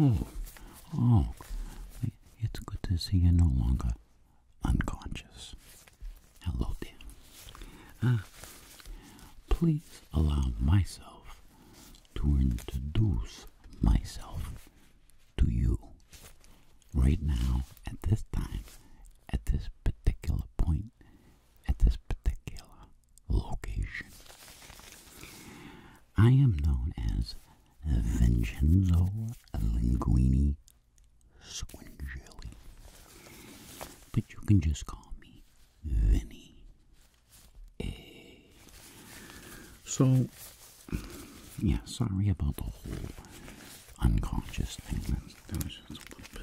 Oh, oh, it's good to see you no longer unconscious. Hello, dear. Ah, please allow myself to introduce myself to you right now at this time, at this particular point, at this particular location. I am known as Vincenzo Linguini Squingeli, but you can just call me Vinny. So yeah, sorry about the whole unconscious thing. That, was just a little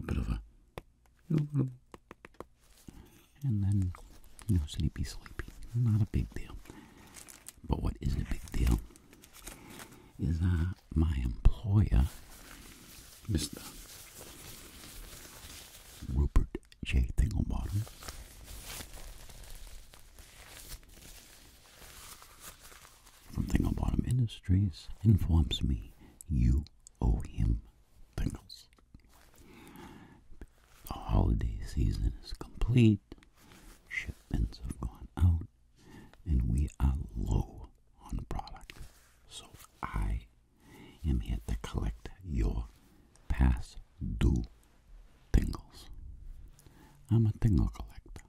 bit of, a and then, you sleepy, sleepy. Not a big deal. But what is a big deal is my employer, Mr. Rupert J Thinglebottom. From Thinglebottom Industries informs me you owe him thingles. The holiday season is complete, shipments have gone out, and we are low on product. So I am here to collect your pass do tingles. I'm a tingle collector,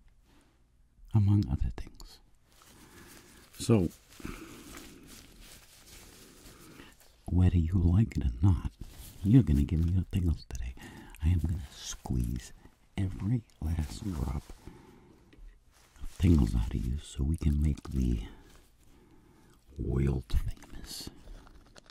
among other things. So, whether you like it or not, you're going to give me your tingles today. I am going to squeeze every last drop of tingles out of you so we can make the world famous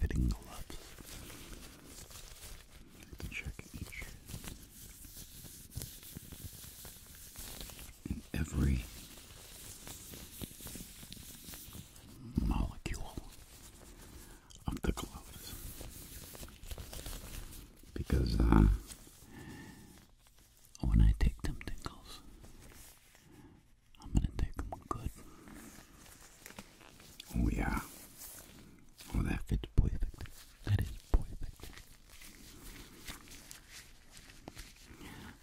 fitting gloves. check each and every molecule of the gloves because uh, when I take them tingles, I'm gonna take them good. Oh yeah. Oh, that fits perfectly. That is perfect.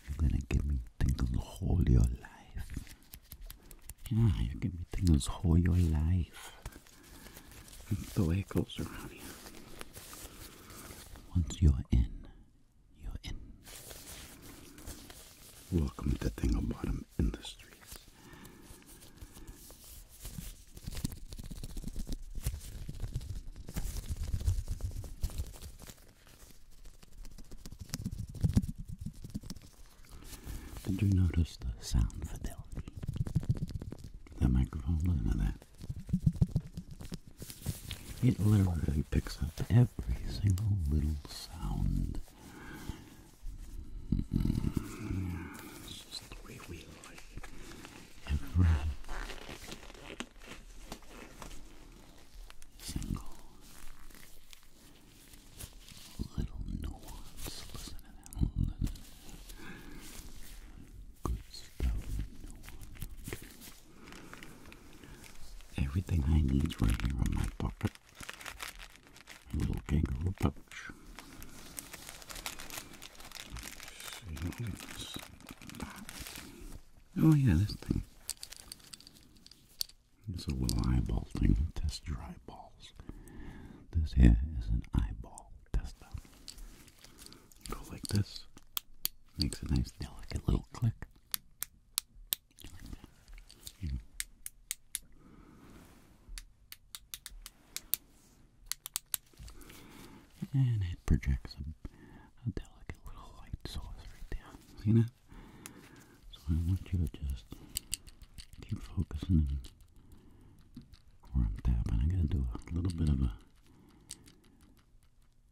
You're gonna give me tingles all your life. Yeah, you give me tingles all your life. the way it goes around here. Once you're in, you're in. Welcome to Tingle Bottom in the streets. Did you notice the sound fidelity? The microphone, listen to that. It literally picks up every single little sound every single little nuance. Listen to that. Listen Good stuff. Everything I need right here in my pocket little kangaroo pouch. Oh yeah, this thing. This little eyeball thing. Test tests your eyeballs. This here is an eyeball tester. Go like this. Makes a nice delicate little click. And it projects a, delicate little white sauce right there. See that? So I want you to just keep focusing where I'm tapping. I am going to do a little bit of a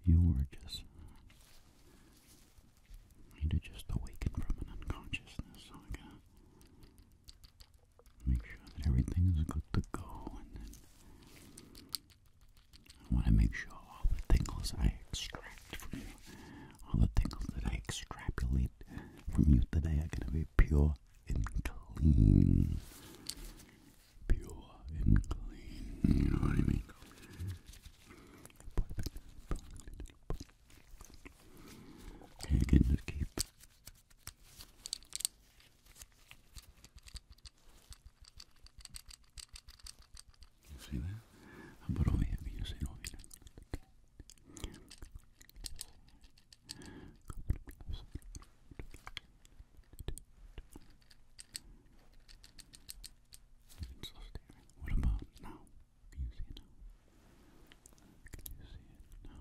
you are just need to just awaken from an unconsciousness. Make sure that everything is good to go, and then I want to make sure all the tingles I extract from you, all the tingles that I extrapolate from you today, are going to be pure and clean. Pure and clean. You know what I mean? You can just keep you see that? How about over here? You see over here? What about now? Can you see it now?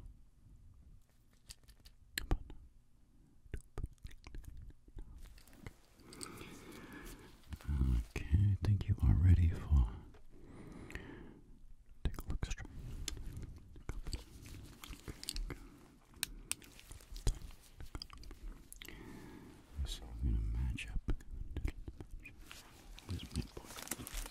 Can you see it now? Okay, I think you are ready for take a look straight. So we gonna match up. Where's my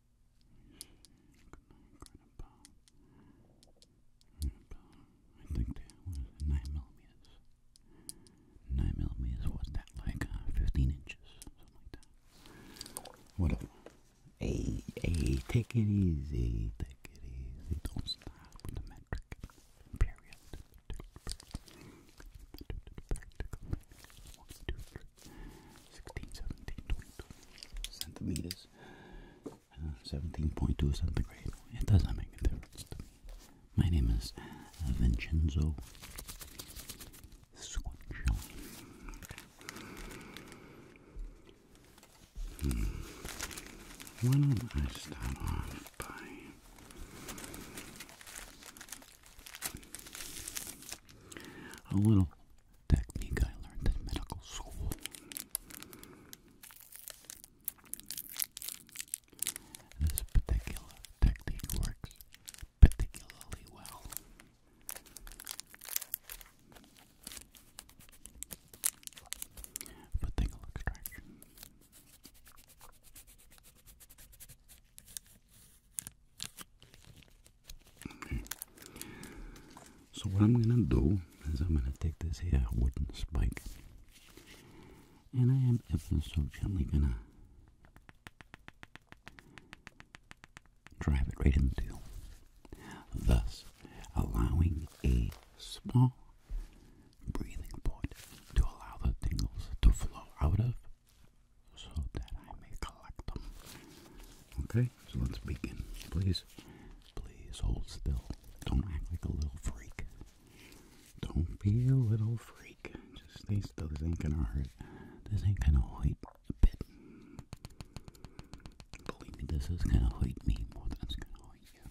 Grandpa. Grandpa. I think that was 9 millimeters. 9 millimeters, was that like uh, 15 inches? Something like that. Whatever. Hey, hey, take it easy. Take it easy. Don't stop with the metric. Period. 16, centimeters, 17.2 uh, centigrade. It doesn't make a difference My name is uh, Vincenzo Squancione. Hmm. Why don't I start off by a little technique I learned in medical school. This particular technique works particularly well. For tingle extraction. So what I'm gonna do is I'm gonna take this here wooden spike, and I am ever so gently gonna drive it right into, thus allowing a small breathing point to allow the tingles to flow out of, so that I may collect them. Okay so let's begin. Please, please hold still. Don't act like a little freak. Don't be a little freak. Just stay still. This ain't gonna hurt. This ain't gonna hurt a bit. Believe me, this is gonna hurt me more than it's gonna hurt you.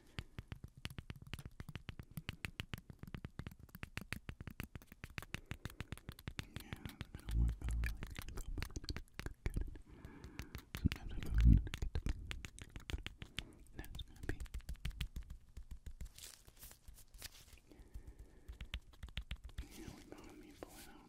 Yeah, they're gonna work out really good. Sometimes I don't want to the That's gonna be. Here we go, let me pull out.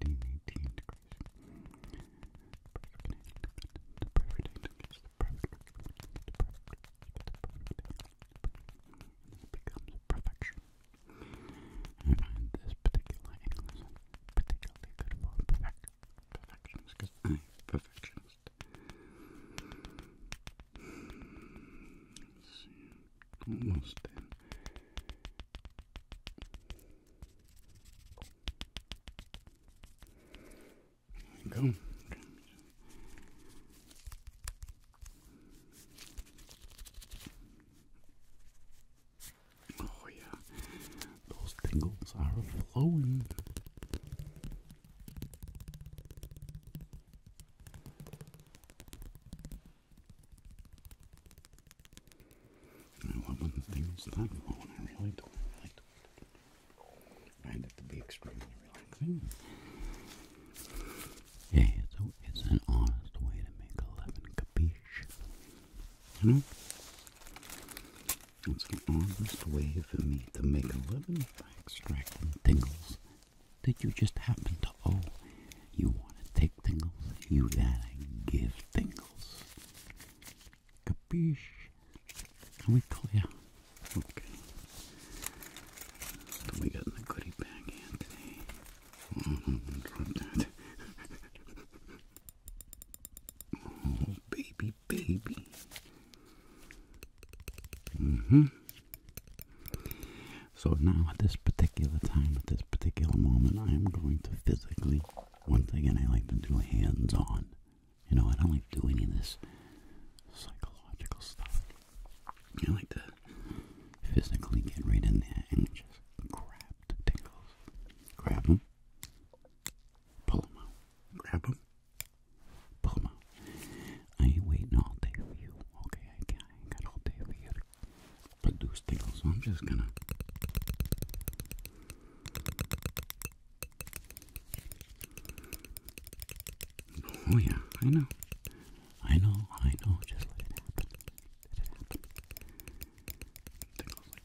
17, 18 degrees. The perfect angle is the perfect the perfect, the perfect and it becomes perfection. I this particular angle particularly good for perfectionist because I'm perfectionist almost in. There we go. Oh yeah, those tingles are flowing. You know what? things that I do really don't I to find it to be extremely relaxing. Yeah, it's, it's an honest way to make eleven, living, capiche? You know? It's an honest way for me to make eleven by extracting tingles that you just happen to owe you want to take tingles? You gotta give tingles. Capiche? we clear? Okay. we got the goodie bag here today? Mm-hmm. oh, baby, baby. Mm hmm. So now at this particular time, at this particular moment, I am going to physically, once again, I like to do hands-on. You know, I don't like doing any of this psychological stuff. I like to physically get right in there and just grab the tingles. Grab them, pull them out. Grab them, pull them out. I ain't waiting all day for you, okay? I, I got all day for you produce tingles. So I'm just gonna Oh yeah, I know. I know, I know, just let it happen. Let it happen. Tingles like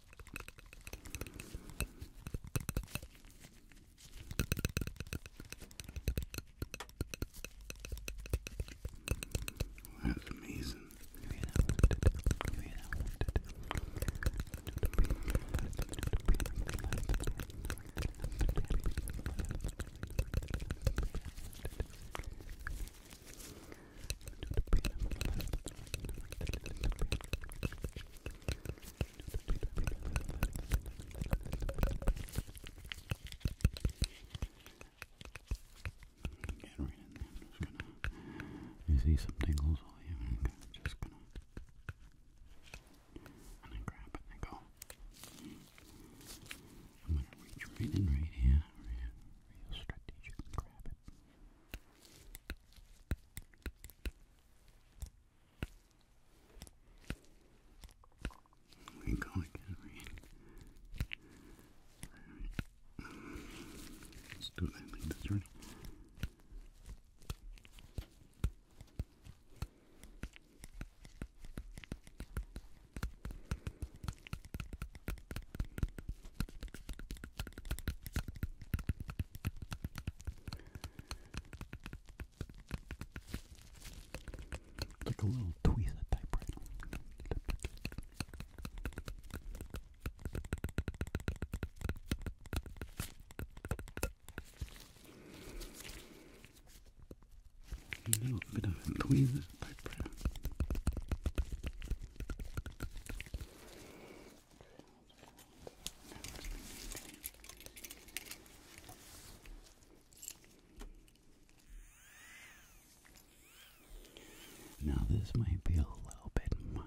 That's amazing. Maybe that one did. Maybe that one did. Maybe Get right in there. I'm just gonna. You see some tingles all you I'm just gonna. And then grab it and go. I'm gonna reach right in right here. Real, real strategic. Grab it. We call it right? Let's do that like like a little tweezer typewriter. A little bit of a tweezer typewriter. Now, this might be a little bit much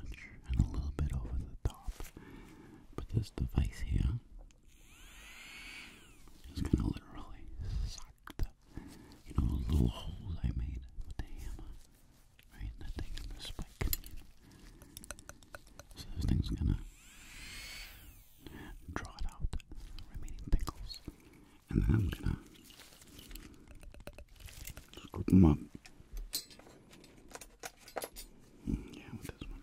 and a little bit over the top, but this device here is going to literally suck the you know, little holes I made with right? That thing and the spike. So this thing's gonna draw it out, the remaining and then I'm gonna scoop up. Mm, yeah, with this one.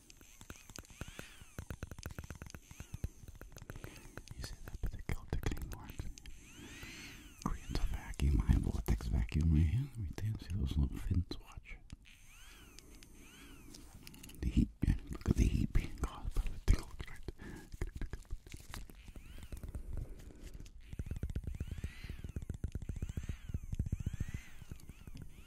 You see that particular tickling mark? Creates a vacuum, high vortex vacuum right here. Right there, see those little fins? Watch. The heat, look at the heat being caused by the tickle effect.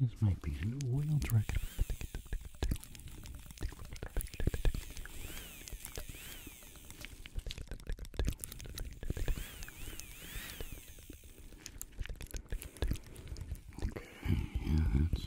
This might be an oil dragon. Okay, yeah, that's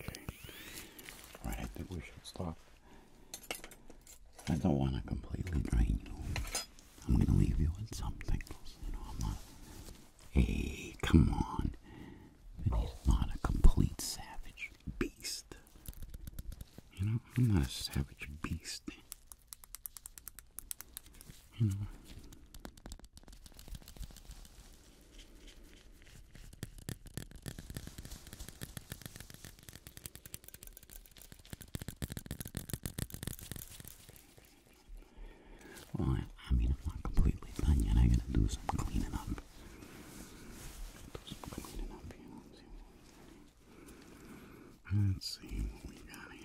Okay. Right, I think we should stop. I don't want to completely drain you. I'm going to leave you with something. things. You know, I'm not. Hey, come on. He's not a complete savage beast. You know, I'm not a savage beast. You know. Well, I, mean, I'm not completely done yet. I gotta do some cleaning up. Let's see what we got here.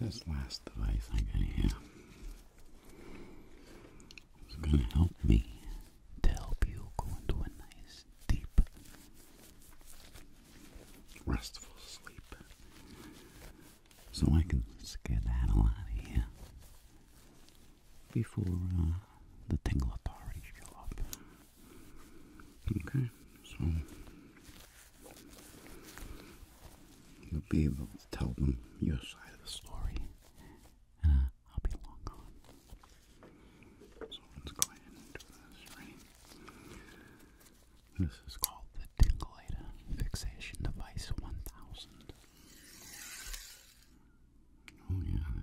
This last device I got here is going to help me to help you go into a nice, deep, restful sleep so I can skedaddle out of here before uh, the Tingle Authority show up. Okay, so you'll be able to tell them your side of the story, uh, I'll be long this, is called the Tingulator Fixation Device 1000. Oh yeah,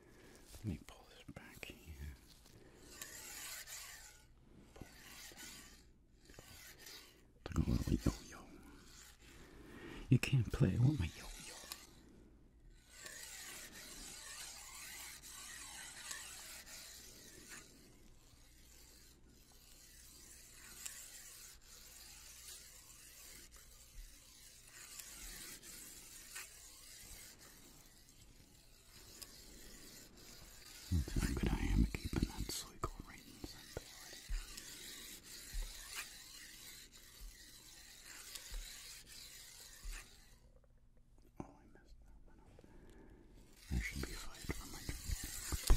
Let me pull this back here. Pull Look yo-yo. You can't play. with my yo-yo. That's how good I am at keeping that cycle right inside. Oh, I messed that one up. I should be fired from my job.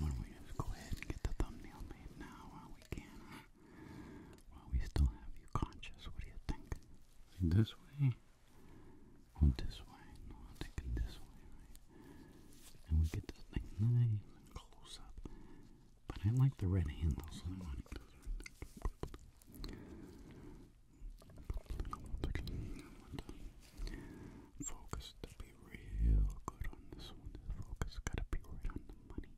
Why don't we just go ahead and get the thumbnail made now while we can, While we still have you conscious, what do you think? This way? or this way, no, I'll take this way, right? And we get this thing nice close up. But I like the red handle, focus to be real good on this one. focus gotta be right on the money.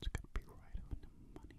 It's gotta be right on the money.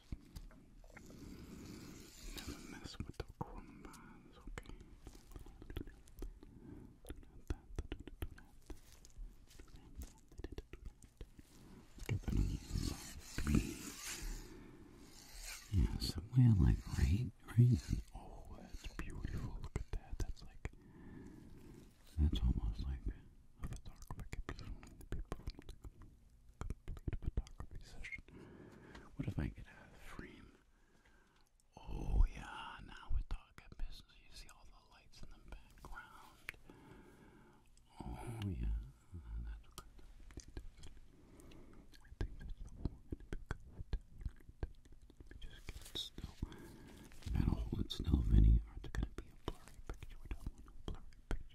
Never Yeah, so like right, right? Oh, that's beautiful. Look at that. That's like, that's almost like a dark wicked complete photography session. What if I get out of the frame? Oh yeah, now we're talking business. You see all the lights in the background. Oh yeah, just get still. gotta hold it still, Vinny, or it's gonna be a blurry picture. We don't want a blurry picture.